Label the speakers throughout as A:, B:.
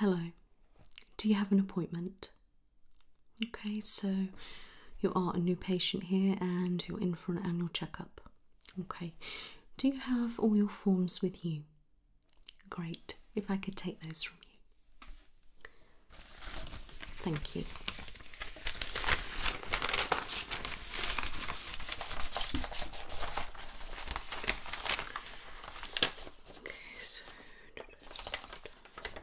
A: Hello, do you have an appointment? Okay, so you are a new patient here and you're in for an annual checkup. Okay, do you have all your forms with you? Great, if I could take those from you. Thank you. Okay, so great. Okay,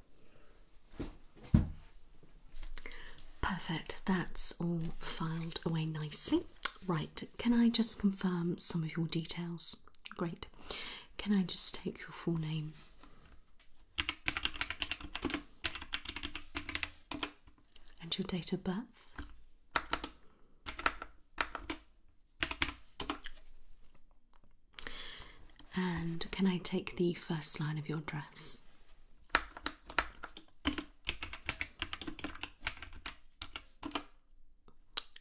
A: Perfect, that's all filed away nicely. Right, can I just confirm some of your details? Great. Can I just take your full name? And your date of birth? And can I take the first line of your address?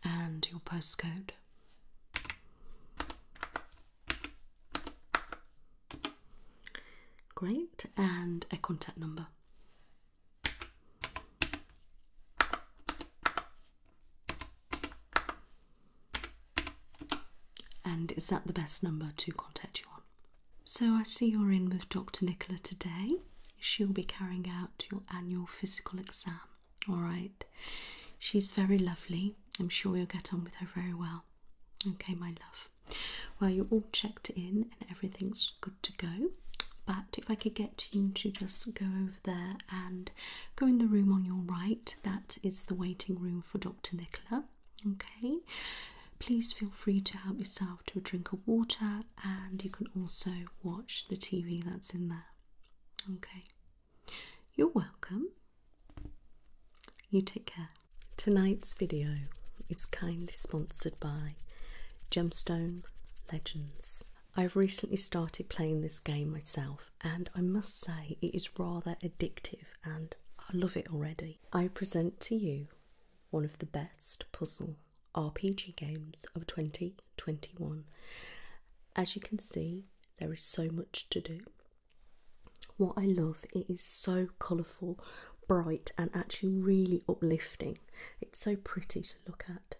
A: and your postcode. Great, and a contact number. And is that the best number to contact you on? So I see you're in with Dr. Nicola today. She'll be carrying out your annual physical exam. All right. She's very lovely. I'm sure you'll get on with her very well. Okay, my love. Well, you're all checked in and everything's good to go. But if I could get you to just go over there and go in the room on your right, that is the waiting room for Dr. Nicola. Okay, please feel free to help yourself to a drink of water, and you can also watch the TV that's in there. Okay, you're welcome. You take care. Tonight's video is kindly sponsored by Gemstone Legends. I've recently started playing this game myself, and I must say it is rather addictive, and I love it already. I present to you one of the best puzzle RPG games of 2021. As you can see, there is so much to do. What I love, it is so colourful, bright, and actually really uplifting. It's so pretty to look at.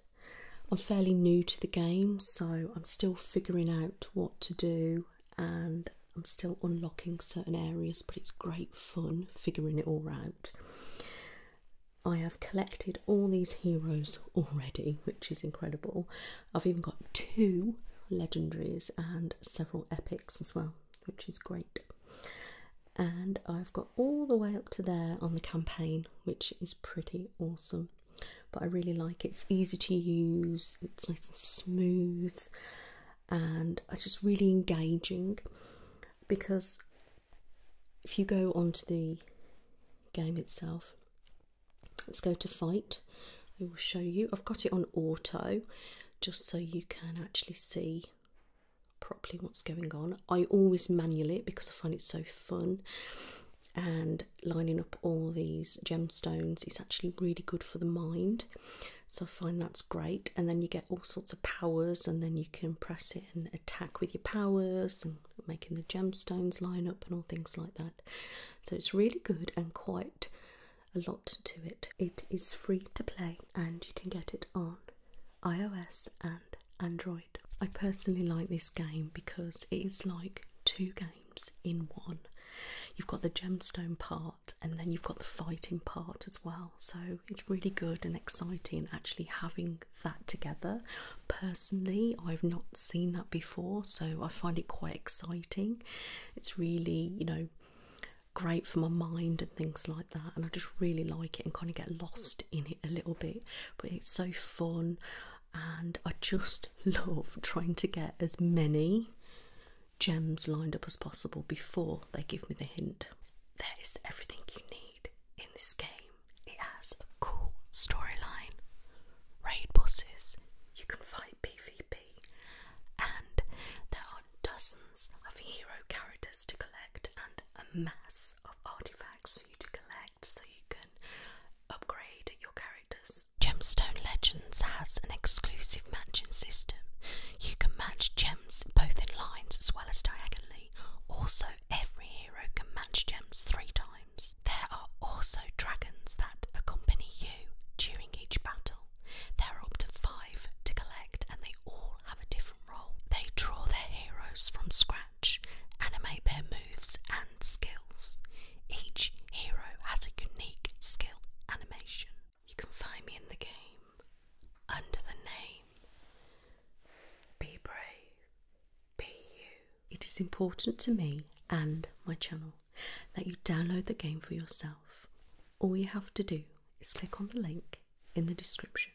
A: I'm fairly new to the game, so I'm still figuring out what to do and I'm still unlocking certain areas, but it's great fun figuring it all out. I have collected all these heroes already, which is incredible. I've even got two legendaries and several epics as well, which is great. And I've got all the way up to there on the campaign, which is pretty awesome. But I really like It's easy to use, it's nice and smooth and it's just really engaging because if you go onto the game itself, let's go to fight. I will show you. I've got it on auto just so you can actually see properly what's going on. I always manual it because I find it so fun and lining up all these gemstones is actually really good for the mind so I find that's great, and then you get all sorts of powers, and then you can press it and attack with your powers, and making the gemstones line up, and all things like that. So it's really good and quite a lot to it. It is free to play, and you can get it on iOS and Android. I personally like this game because it is like two games in one. You've got the gemstone part and then you've got the fighting part as well so it's really good and exciting actually having that together personally i've not seen that before so i find it quite exciting it's really you know great for my mind and things like that and i just really like it and kind of get lost in it a little bit but it's so fun and i just love trying to get as many gems lined up as possible before they give me the hint. There is everything you need in this game. It has a cool storyline, raid bosses, you can fight PvP, and there are dozens of hero characters to collect and a mass of artifacts for you to collect so you can upgrade your characters Gemstone Legends has an exclusive matching system. You can match gems both in lines as well as diagonally. Also, every hero can match gems three times. There are also dragons that accompany you during each battle. There are up to five to collect, and they all have a different role. They draw their heroes from scratch, animate their moves and skills. Each hero has a unique skill animation. You can find me in the game under the name Be Brave, Be You. It is important to me and my channel that you download the game for yourself. All you have to do is click on the link in the description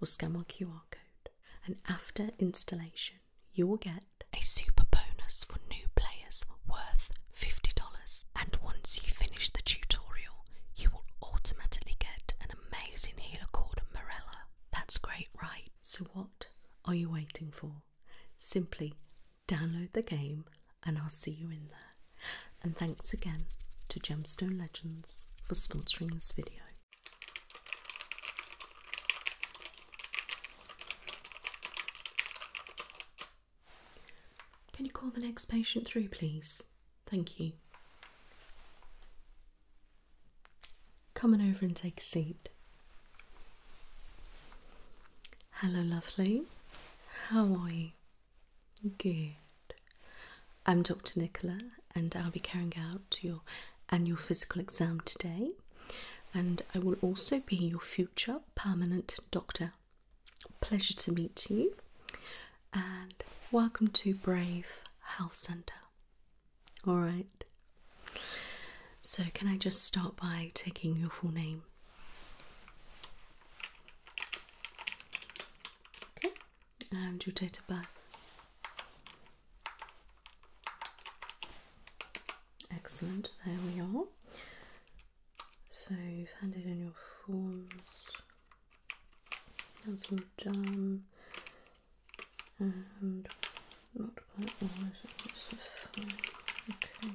A: or scan my QR code, and after installation, you will get a super bonus for new players worth $50. And once you finish the tutorial, you will automatically get an amazing healer called Mirella. That's great, right? So, what are you waiting for? Simply download the game, and I'll see you in there. And thanks again to Gemstone Legends for sponsoring this video. Can you call the next patient through, please? Thank you. Come on over and take a seat. Hello, lovely. How are you? Good. I'm Dr. Nicola, and I'll be carrying out your annual physical exam today. And I will also be your future permanent doctor Pleasure to meet you and welcome to Brave Health Centre. Alright, so can I just start by taking your full name? Okay, and your date of birth. Excellent, there we are. So you've handed in your forms. That's some jam, And not quite all is Okay.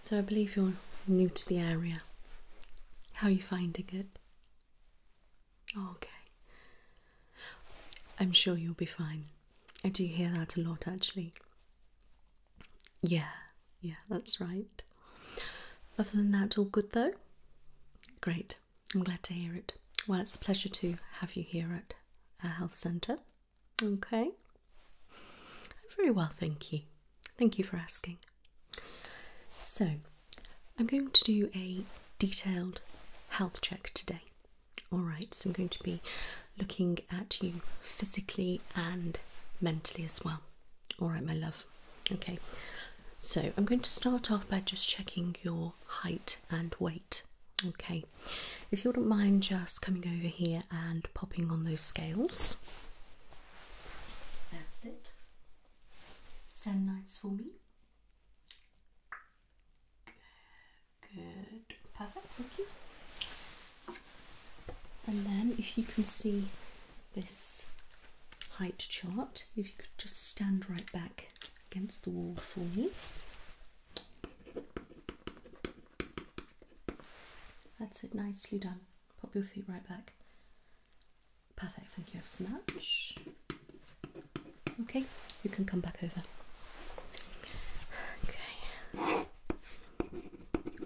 A: So I believe you're new to the area. How are you finding it? okay. I'm sure you'll be fine. I do hear that a lot actually. Yeah, yeah, that's right. Other than that, all good though? Great, I'm glad to hear it. Well, it's a pleasure to have you here at our health centre. Okay. Very well, thank you. Thank you for asking. So, I'm going to do a detailed health check today. All right, so I'm going to be looking at you physically and mentally as well. All right, my love. Okay, so I'm going to start off by just checking your height and weight. Okay, if you wouldn't mind just coming over here and popping on those scales. That's it. Stand nice for me. Good. Perfect. Thank you. And then, if you can see this height chart, if you could just stand right back against the wall for me. That's it, nicely done. Pop your feet right back. Perfect, thank you so much. Okay, you can come back over. Okay.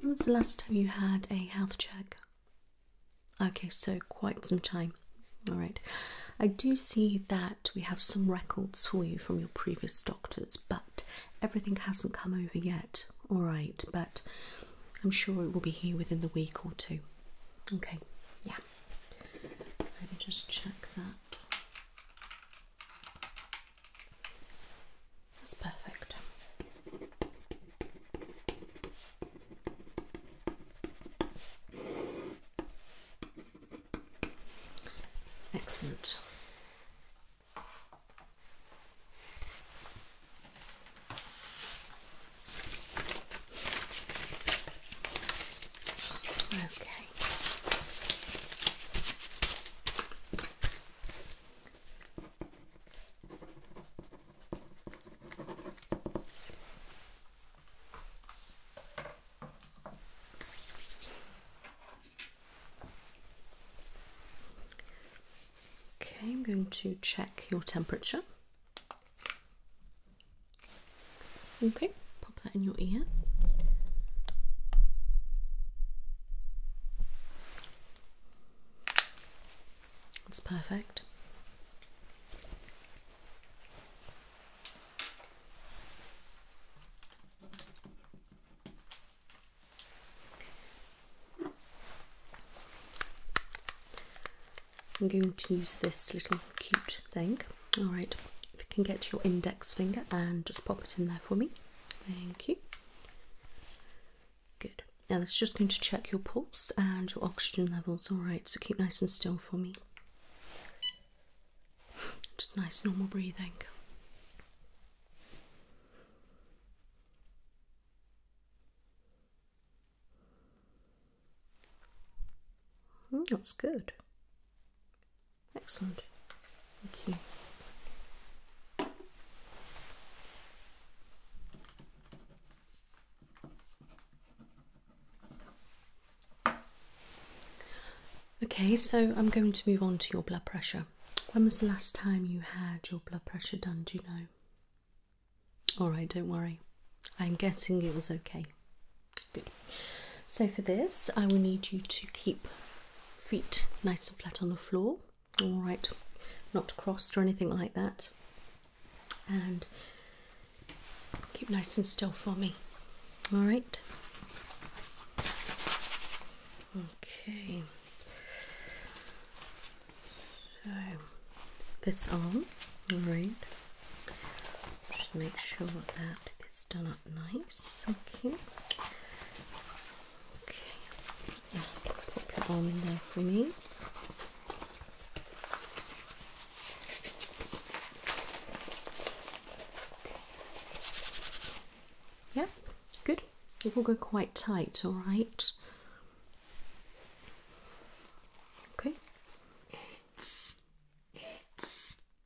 A: When was the last time you had a health check? Okay, so quite some time. All right. I do see that we have some records for you from your previous doctors, but everything hasn't come over yet. All right, but I'm sure it will be here within the week or two. Okay, yeah. Let me just check that. That's perfect. Excellent. Okay. Okay, I'm going to check your temperature. Okay, pop that in your ear. It's perfect. I'm going to use this little cute thing all right, if you can get your index finger and just pop it in there for me. Thank you. Good. Now that's just going to check your pulse and your oxygen levels. All right, so keep nice and still for me. Just nice normal breathing. Hmm, that's good. Excellent. Thank you. Okay, so I'm going to move on to your blood pressure. When was the last time you had your blood pressure done? Do you know? Alright, don't worry. I'm guessing it was okay. Good. So for this, I will need you to keep feet nice and flat on the floor. All right, not crossed or anything like that. And keep nice and still for me. All right. Okay. So this arm, all right. Just make sure that it's done up nice. Okay. Okay. Yeah, your arm in there for me. Yeah, good. It will go quite tight, all right. Okay.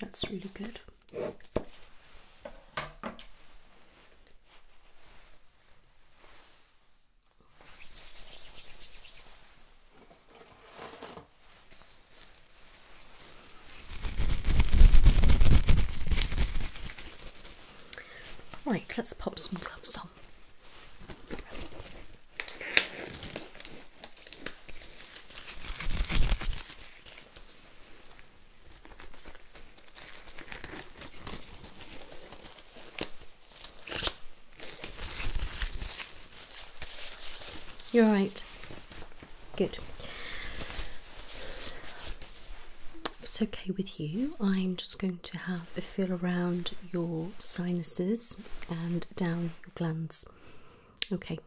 A: That's really good. Right, let's pop some gloves on. You're right. Good. it's okay with you, I'm just going to have a feel around your sinuses and down your glands. Okay,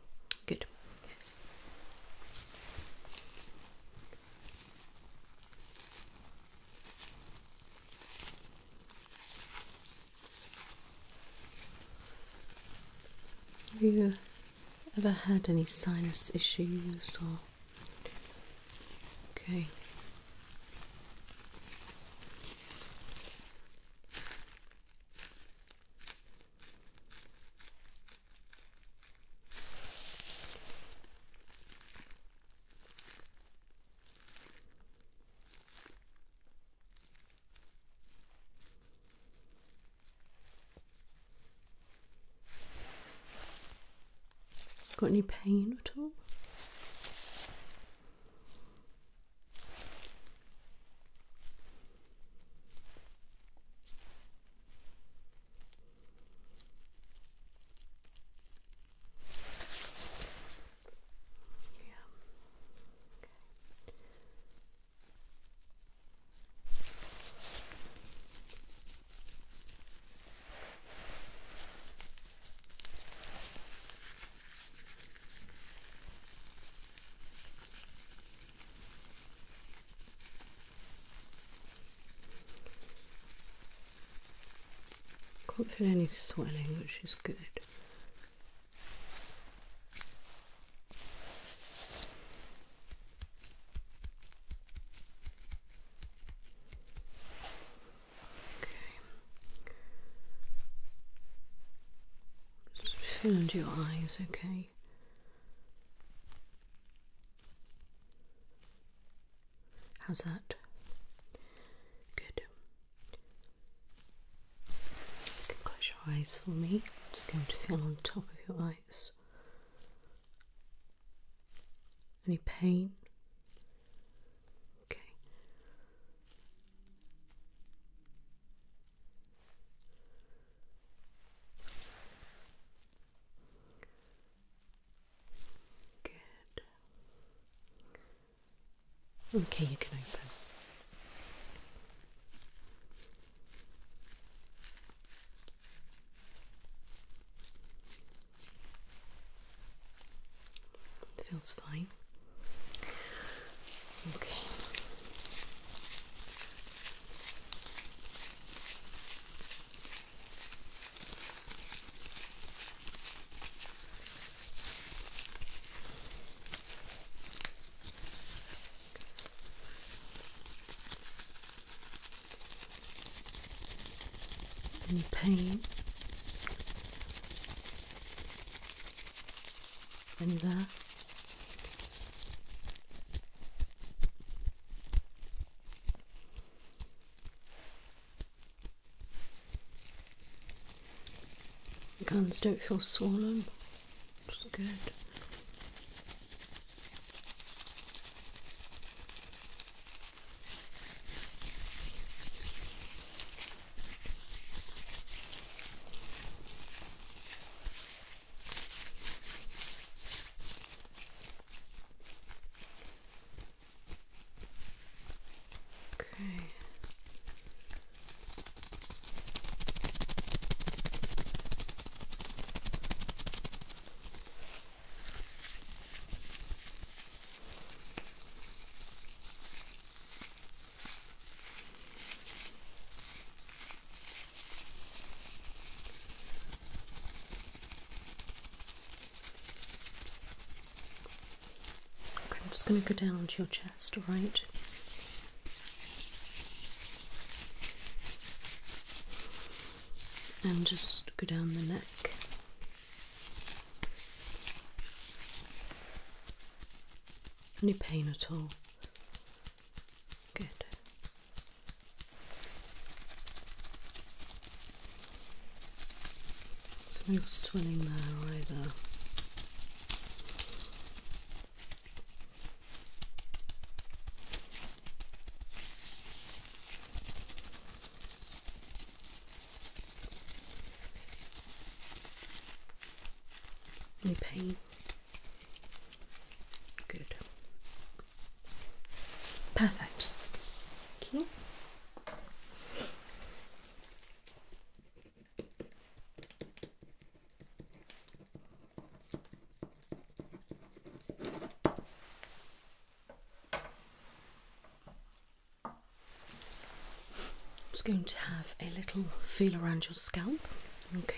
A: good. you ever had any sinus issues or okay Got any pain at all? Yeah. Can't feel any swelling, which is good. Just fill your eyes, okay? How's that? Good close your eyes for me. i just going to feel on top of your eyes. Any pain? Okay. Good. Okay, you can open. Feels fine. Okay and pain and that the guns don't feel swollen Looks good. Okay. I'm just going to go down to your chest chest, And just go down the neck. Any pain at all? Good. no swelling there either. Any pain? Good. Perfect. Okay. I'm just going to have a little feel around your scalp. Okay.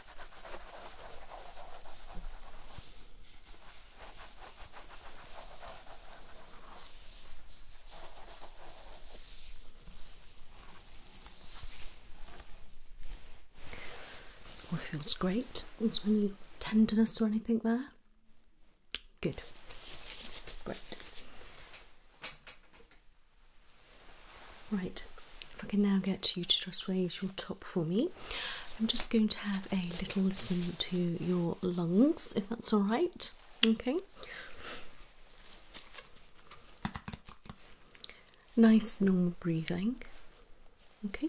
A: Well, feels great. Was any tenderness or anything there? Good. Great. Right, if I can now get you to just raise your top for me, I'm just going to have a little listen to your lungs, if that's all right. Okay. Nice normal breathing. Okay.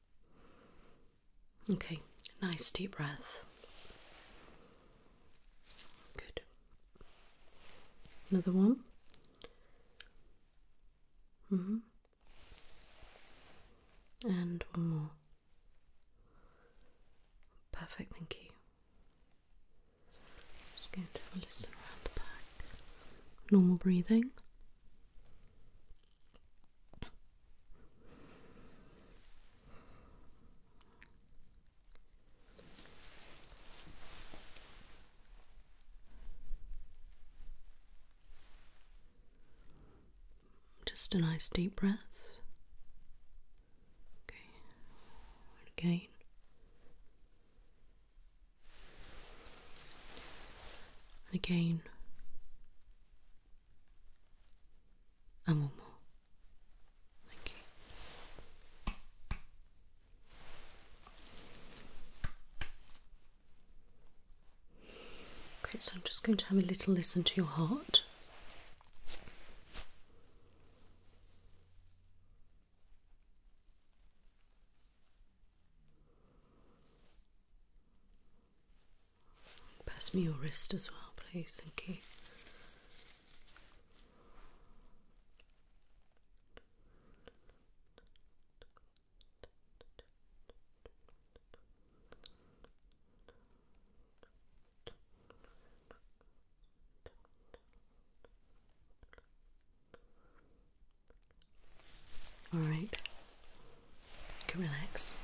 A: Okay, nice deep breath. Good. Another one. Mm -hmm. And one more. Perfect, thank you. Just going to have a around the back. Normal breathing. Just a nice deep breath. Okay, again and again, and one more. Thank you. Okay, so I'm just going to have a little listen to your heart. Pass me your wrist as well, please. Thank you. All right, you can relax.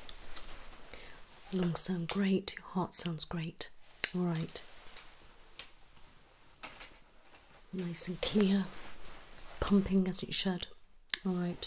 A: Lungs mm. sound great, your heart sounds great. All right, nice and clear, pumping as it should. All right.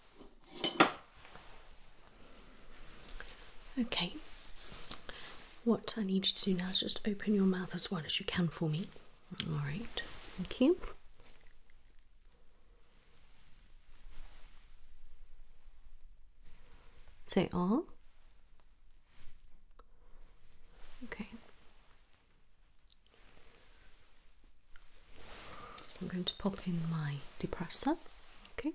A: Okay, what I need you to do now is just open your mouth as wide as you can for me. All right, thank you. Say all. Ah. Okay. I'm going to pop in my depressor. Okay.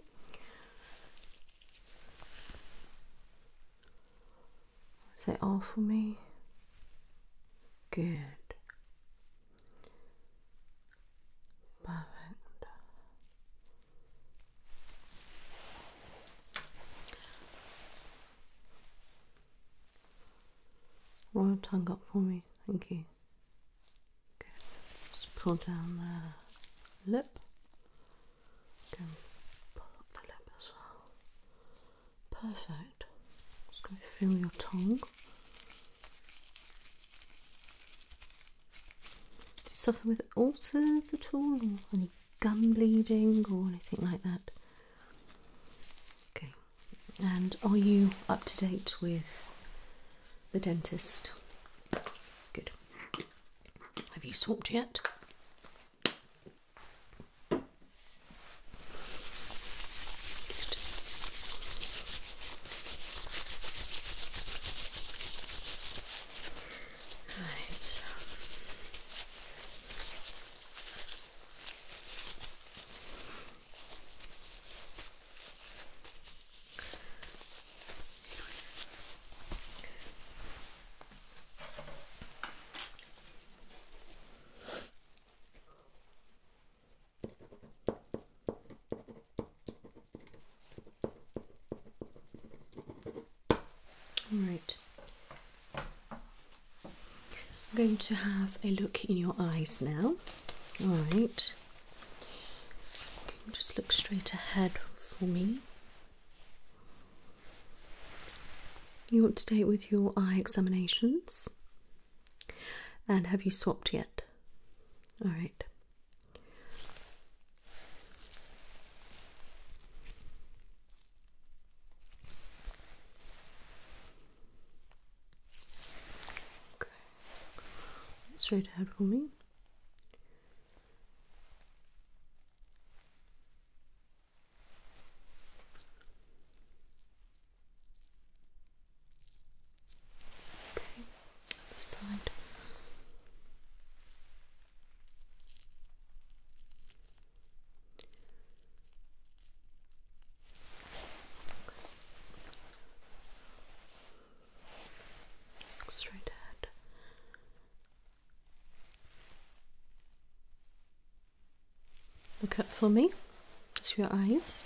A: Is that all for me? Good. Perfect. Royal tongue up for me, thank you just pull down the lip. Can pull up the lip as well. Perfect. Just going to feel your tongue. Something with ulcers at all, or any gum bleeding, or anything like that? Okay. And are you up to date with the dentist. Good. Have you swapped yet? Right. All right. I'm going to have a look in your eyes now. All right just look straight ahead for me? You up to date with your eye examinations? And have you swapped yet? Alright straight ahead for me. Okay, side straight ahead. Look up for me. To your eyes.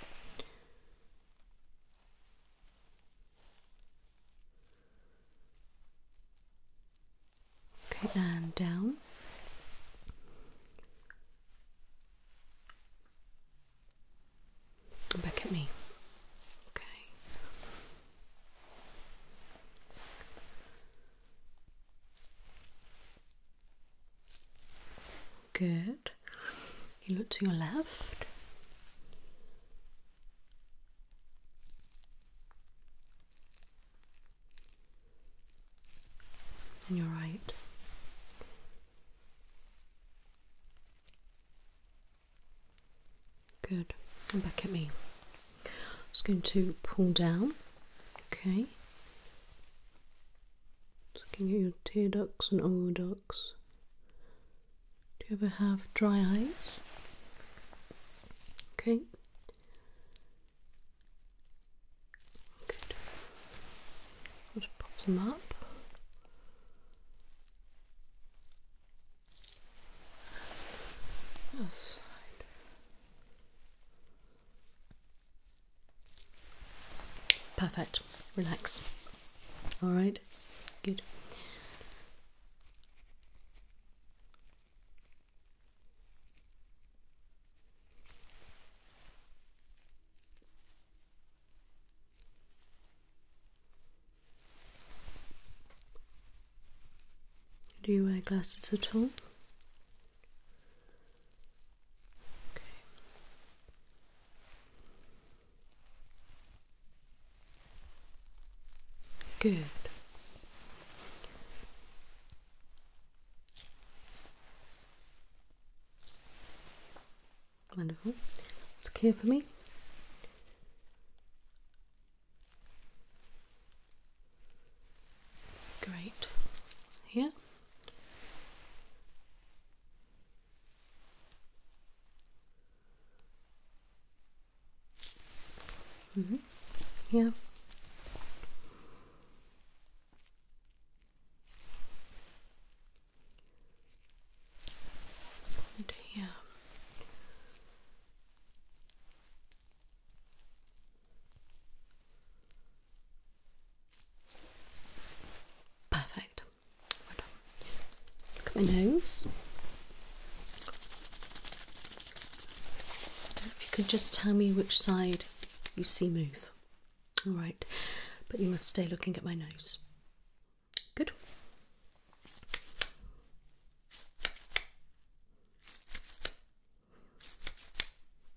A: Okay, and down. Back at me. Okay. Good. You look to your left. And you're right. Good. Come back at me. I'm Just going to pull down. Okay. Looking at your tear ducts and oral ducts. Do you ever have dry eyes? Okay. Good. I'll pop them up. Perfect. Relax. All right. Good. Do you wear glasses at all? Good. Wonderful. It's clear for me. Great. Here. Mm -hmm. Yeah. Damn. Perfect. Look at my nose. If you could just tell me which side you see move. Alright, but you must stay looking at my nose. Good.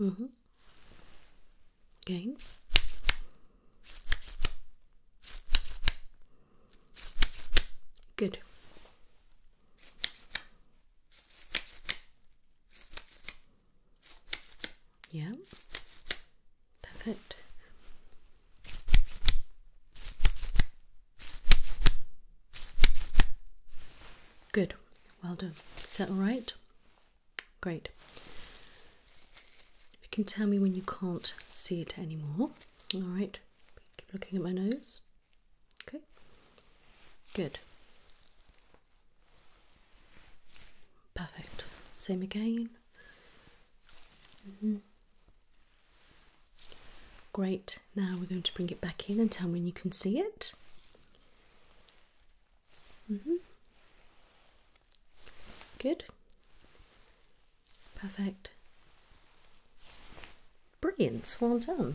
A: Mm-hmm. Again. Good. Yeah. Perfect. Good. Well done. Is that all right? Great. You can tell me when you can't see it anymore. All right. Keep looking at my nose. Okay. Good. Perfect. Same again. Mm-hmm. Great, now we're going to bring it back in and tell me when you can see it. -hmm. Good. Perfect. Brilliant, well done.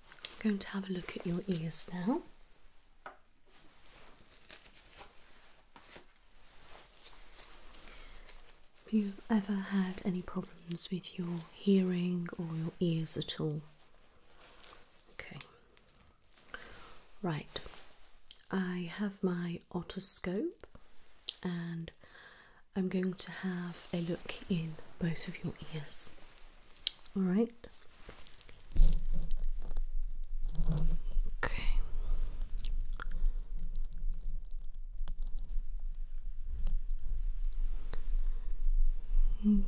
A: I'm going to have a look at your ears now. Have you ever had any problems with your hearing or your ears at all? Okay. Right. I have my otoscope and I'm going to have a look in both of your ears. All right. Okay.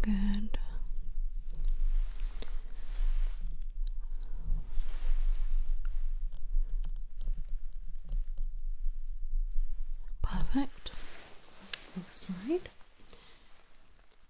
A: Good. Perfect. This side.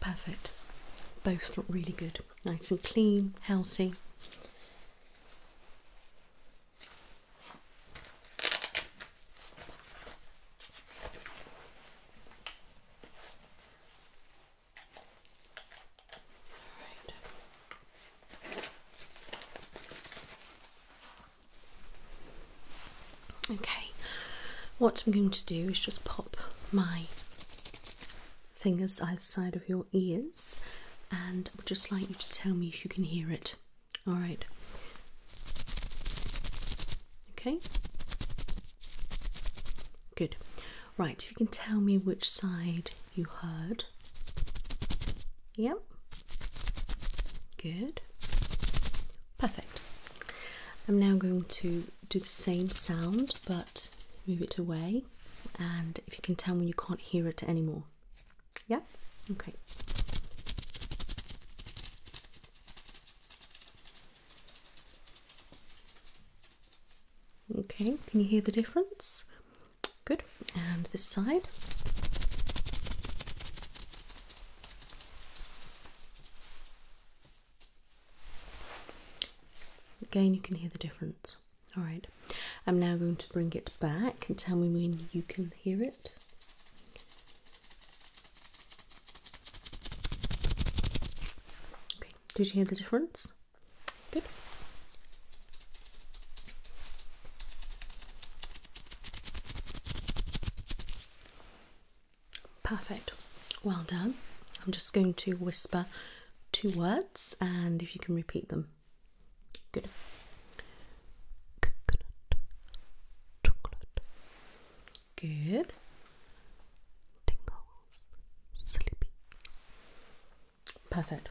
A: Perfect. Both look really good. Nice and clean, healthy. Right. Okay, what I'm going to do is just pop my fingers either side of your ears and I would just like you to tell me if you can hear it. Alright. Okay. Good. Right, if you can tell me which side you heard. Yep. Good. Perfect. I'm now going to do the same sound but move it away, and if you can tell me you can't hear it anymore. Yep. Okay. Okay, can you hear the difference? Good. And this side. Again, you can hear the difference. All right, I'm now going to bring it back and tell me when you can hear it. did you hear the difference? Good. Perfect. Well done. I'm just going to whisper two words and if you can repeat them. Good. Coconut. Good. Perfect.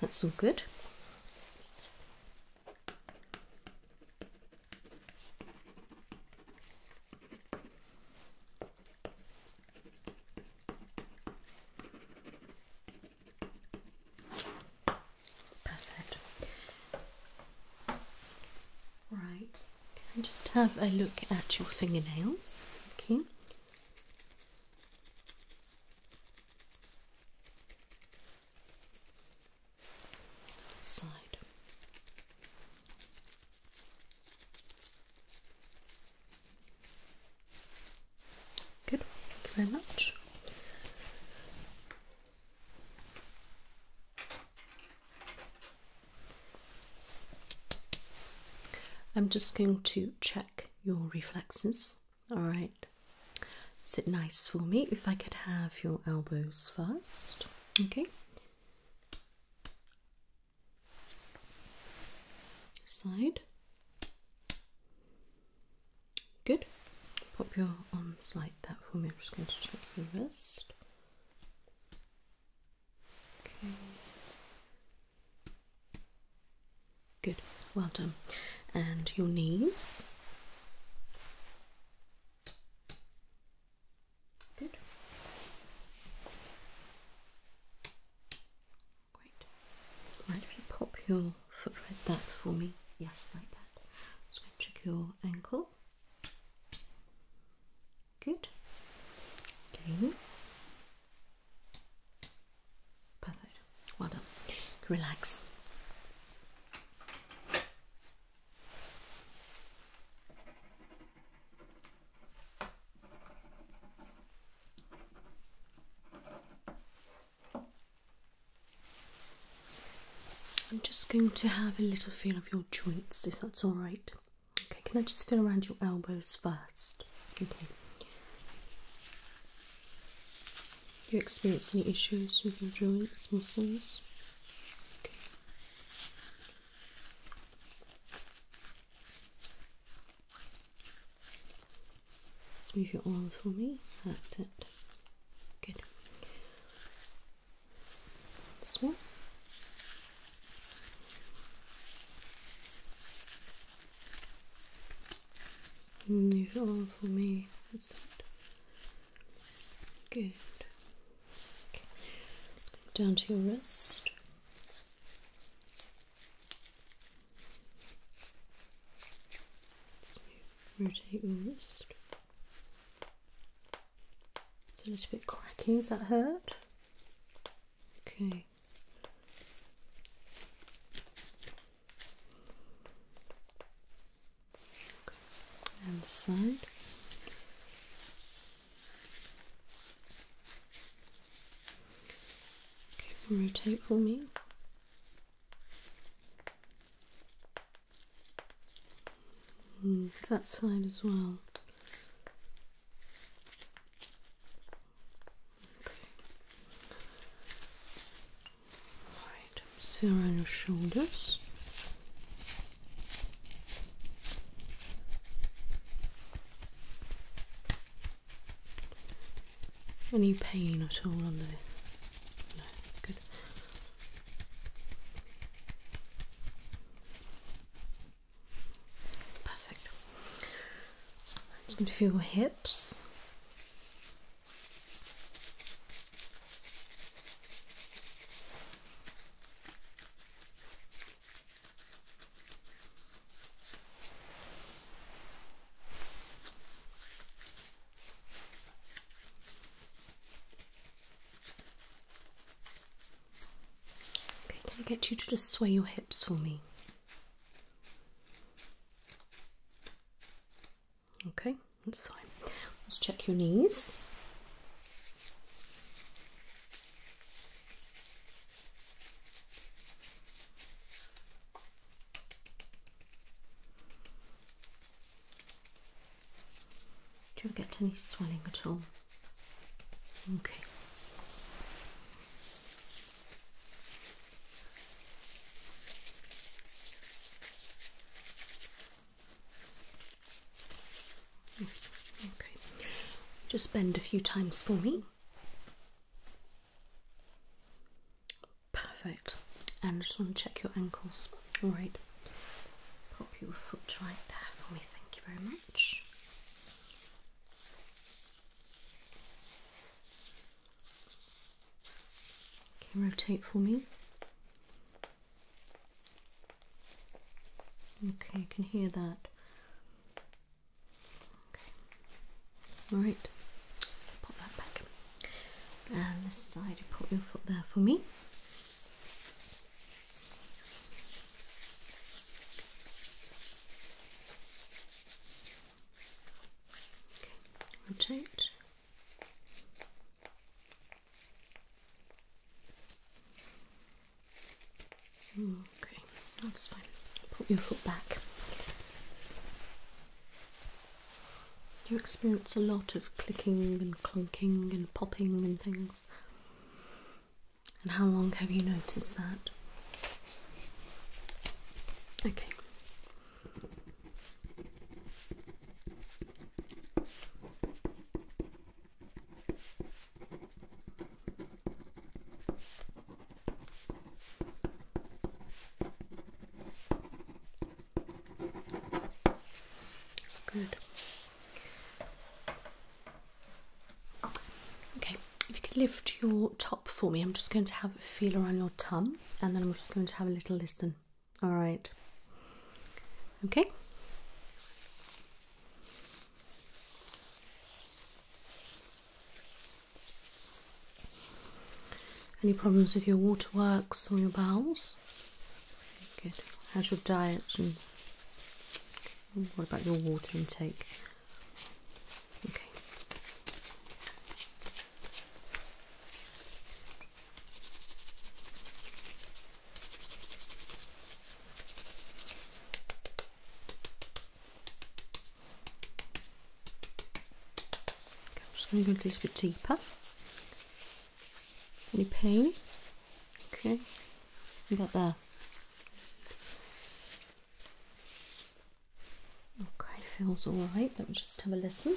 A: That's all good. Perfect. Right, I just have a look at your fingernails. Okay side. Good, thank you very much. I'm just going to check your reflexes, all right. Is it nice for me if I could have your elbows first. Okay. Side. Good. Pop your arms like that for me. I'm just going to check your wrist. Okay. Good. Well done. And your knees. Good. Great. Right, if you pop your foot right that for me, yes, like that. Just going to check your ankle. Good. Okay. Perfect. Well done. Relax. I'm just going to have a little feel of your joints if that's all right. Okay, can I just feel around your elbows first? Okay. You experience any issues with your joints, muscles? Okay. move your arms for me. That's it. Good. This one. your arm for me. That's it. Good. Okay. Go down to your wrist. So rotate your wrist. It's a little bit cracking. Is that hurt? Okay. And the side. Okay, rotate for me. Hmm, that side as well. Alright, sear on your shoulders. Any pain at all on there? no, good. Perfect. I'm just going to feel your hips. Okay, can I get you to just sway your hips for me? Okay, that's fine. Let's check your knees. Do you get any swelling at all? Okay just bend a few times for me. Perfect. And just want to check your ankles. Right. Pop your foot right there for me. Thank you very much. Okay, rotate for me. Okay, I can hear that. Okay. Alright, that back. And this side, you put your foot there for me. Okay, rotate. Okay, that's fine. Put your foot back. You experience a lot of clicking and clunking and popping and things. And how long have you noticed that? Okay, Good. Okay, if you can lift your top for me, I'm just going to have a feel around your tongue and then I'm just going to have a little listen. All right. Okay. Any problems with your waterworks or your bowels? Good. How's your diet and what about your water intake? Okay. I'm just going to go a little bit deeper. Any pain? Okay. About there. Okay, feels all right. Let me just have a listen.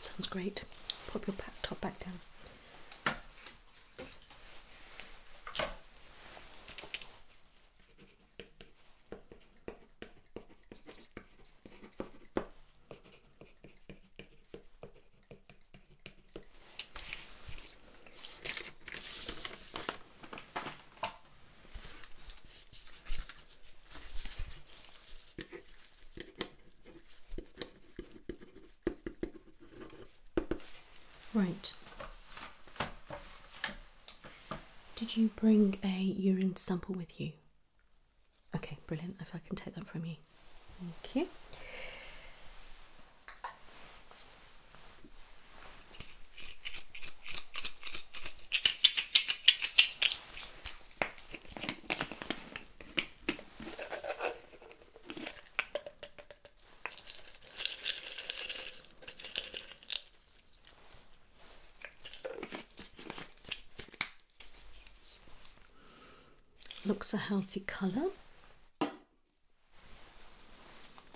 A: sounds great. Pop your top back down. Right. Did you bring a urine sample with you? Okay, brilliant. If I can take that from you. Thank you. Looks a healthy colour.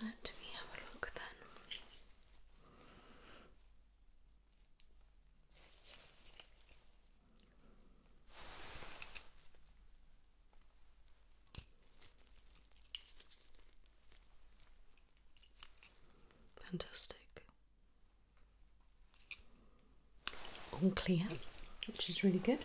A: Let me have a look then. Fantastic. All clear, which is really good.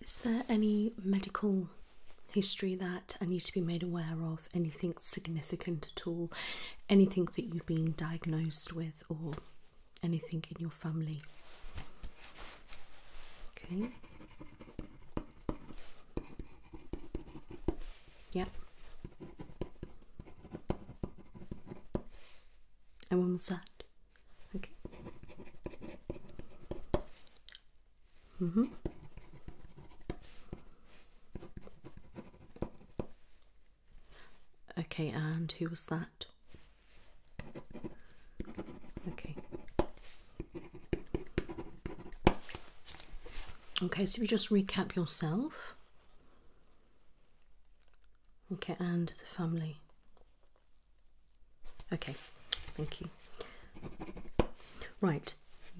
A: Is there any medical history that I need to be made aware of? Anything significant at all? Anything that you've been diagnosed with or anything in your family? Okay. Yep. And when was that? Okay. Mm hmm. Okay, and who was that? Okay. Okay, so if you just recap yourself. Okay, and the family. Okay, thank you. Right,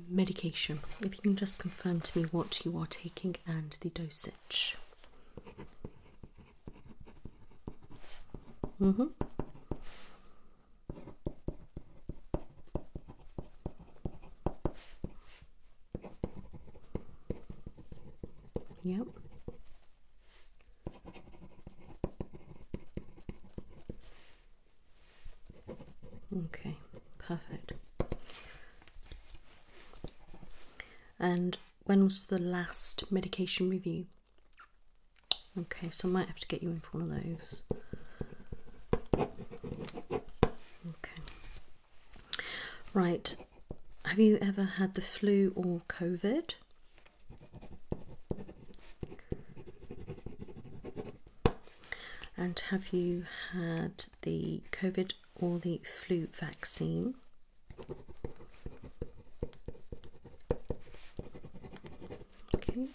A: medication. If you can just confirm to me what you are taking and the dosage. Mm hmm. Yep. Okay, perfect. And when was the last medication review? Okay, so I might have to get you in for one of those. Okay. Right, have you ever had the flu or COVID? And have you had the COVID or the flu vaccine? Okay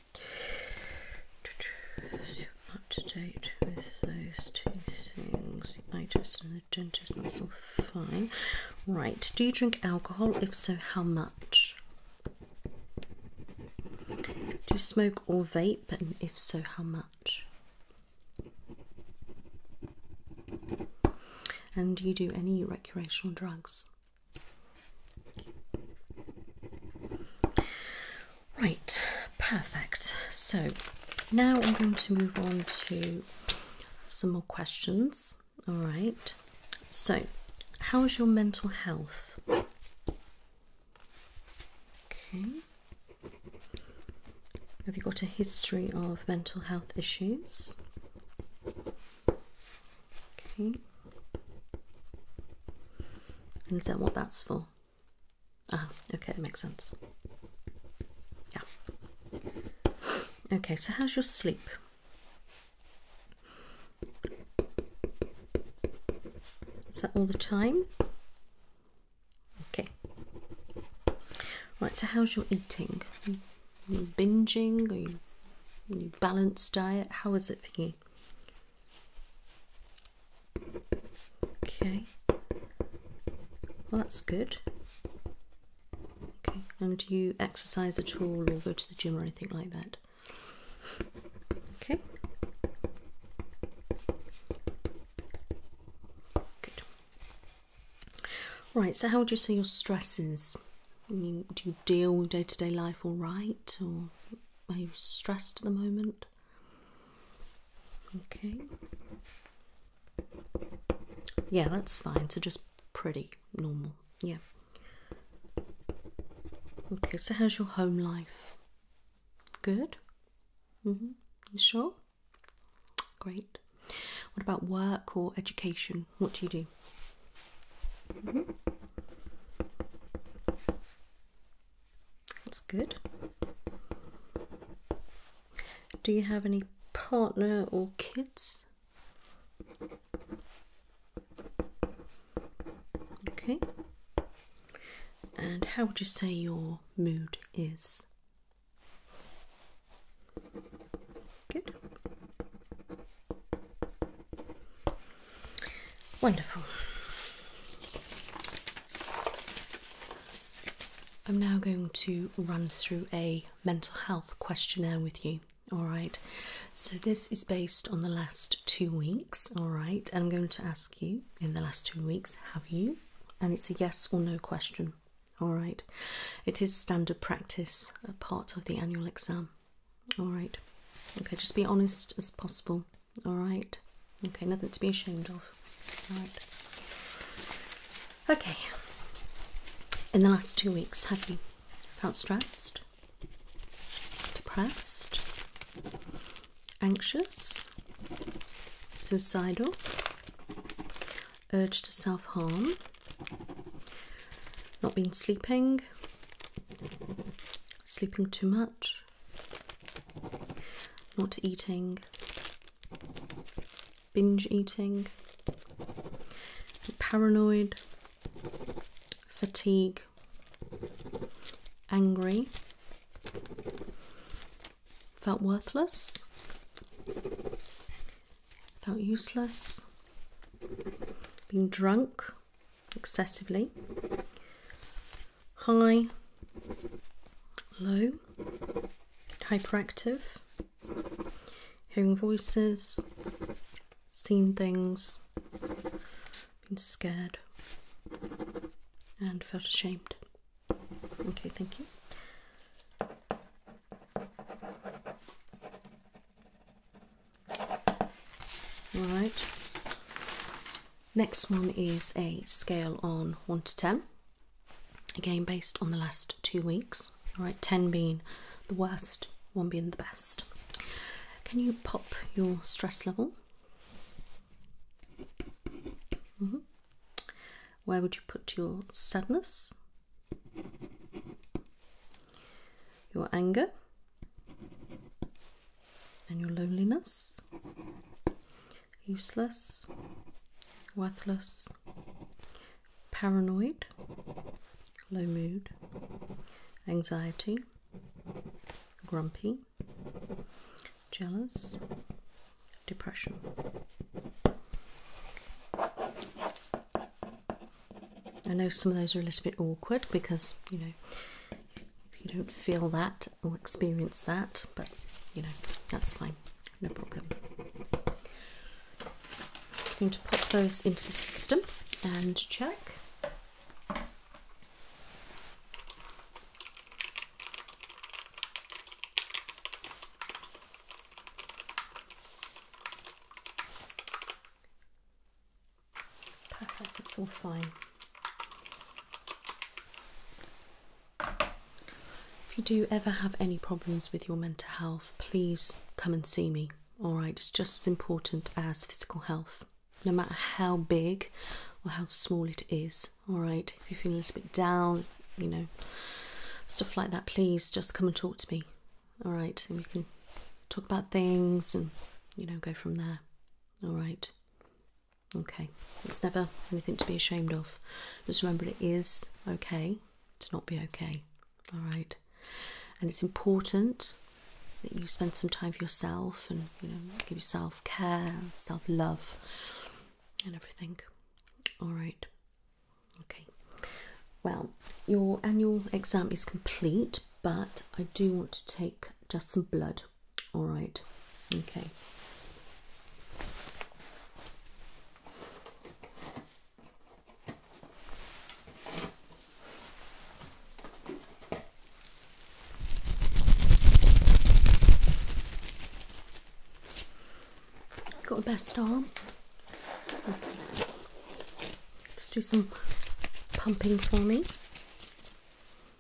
A: up to date with those two things. The eye test and the dentist, that's all fine. Right, do you drink alcohol? If so, how much? Do you smoke or vape? And if so, how much? And do you do any recreational drugs? Right, perfect. So now I'm going to move on to some more questions. All right. So, how is your mental health? Okay. Have you got a history of mental health issues? Okay. And is that what that's for? Ah, okay, it makes sense. Yeah. Okay, so how's your sleep? Is that all the time? Okay. Right, so how's your eating? binging? Are are you balanced diet? How is it for you? Okay. Well, that's good. Okay. And do you exercise at all or go to the gym or anything like that? Okay. Good. Right. So, how would you say your stress is? do you deal day to day life all right, or are you stressed at the moment? Okay. Yeah, that's fine. So just pretty normal. Yeah. Okay, so how's your home life? Good? Mm hmm. You sure? Great. What about work or education? What do you do? -hmm. That's good. Do you have any partner or kids? Okay. And how would you say your mood is? Good. Wonderful. I'm now going to run through a mental health questionnaire with you. All right, so this is based on the last two weeks. All right, and I'm going to ask you in the last two weeks, have you? And it's a yes or no question. All right, it is standard practice, a part of the annual exam. All right, okay, just be honest as possible all right? Okay, nothing to be ashamed of, all right? Okay, in the last two weeks, have you felt stressed, depressed, anxious, suicidal, urged to self harm, not been sleeping, sleeping too much? Not eating, binge eating, paranoid, fatigue, angry, felt worthless, felt useless, being drunk excessively, high, low, hyperactive, hearing voices, seen things, been scared, and felt ashamed. Okay, thank you. All right. Next one is a scale on 1 to 10, again based on the last two weeks. All right, 10 being the worst, 1 being the best. Can you pop your stress level? Mm-hmm. Where would you put your sadness? Your anger? And your loneliness? useless, worthless, paranoid, low mood, anxiety, grumpy, jealous, depression. I know some of those are a little bit awkward because, you know, if you don't feel that or experience that, but you know, that's fine, no problem. I'm just going to pop those into the system and check. Perfect, it's all fine. If you do ever have any problems with your mental health, please come and see me. All right, it's just as important as physical health, no matter how big or how small it is. All right, if you feel a little bit down, you know, stuff like that, please just come and talk to me. All right, and we can talk about things and you know go from there. All right, Okay, it's never anything to be ashamed of. Just remember it is okay to not be okay. All right, and it's important that you spend some time for yourself and you know give yourself care, self love, and everything. All right. Okay. Well, your annual exam is complete, but I do want to take just some blood all right, okay. Got a best arm. Just do some pumping for me.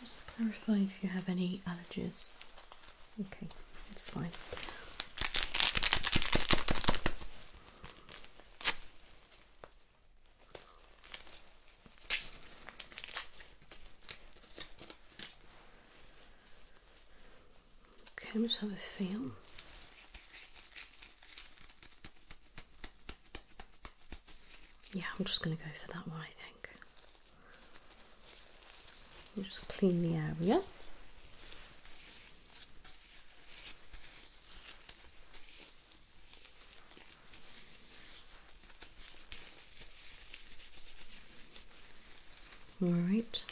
A: Just clarify if you have any allergies. Okay, that's fine. Okay, I'm have a feel. Yeah, I'm just going to go for that one, I think just clean the area. All right.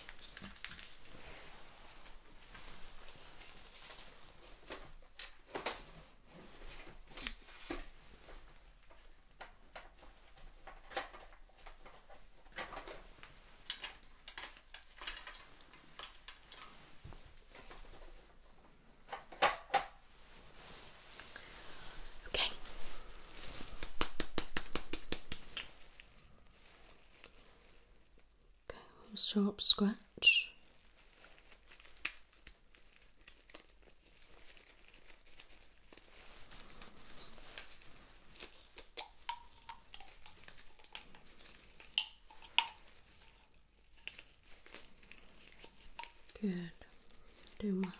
A: Okay. Okay, one sharp scratch. Good. Do well.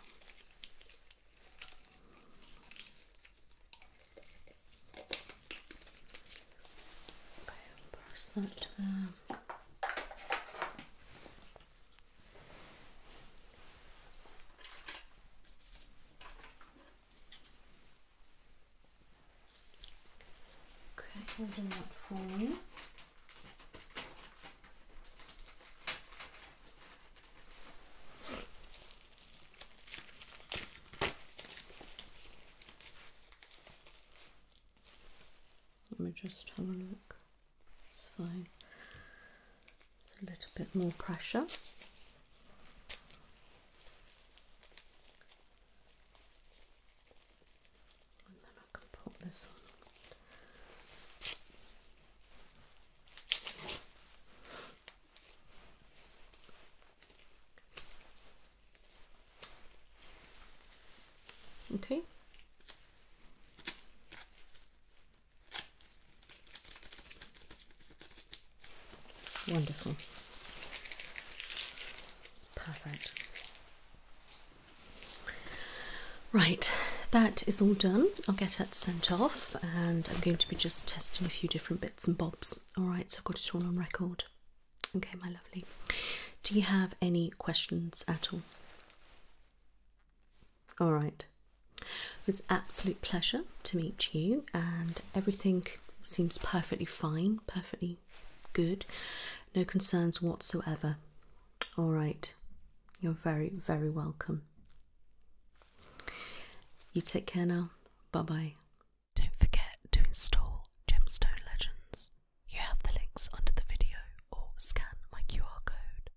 A: Okay, brush that um, Okay, we'll do that Let me just have a look. So it's a little bit more pressure. And then I can pop this on. Okay. Wonderful. Perfect. Right, that is all done. I'll get that sent off and I'm going to be just testing a few different bits and bobs. Alright, so I've got it all on record. Okay, my lovely. Do you have any questions at all? All right. It was absolute pleasure to meet you, and everything seems perfectly fine, perfectly good, no concerns whatsoever. All right. You're very, very welcome. You take care now. Bye bye. Don't forget to install Gemstone Legends. You have the links under the video or scan my QR code.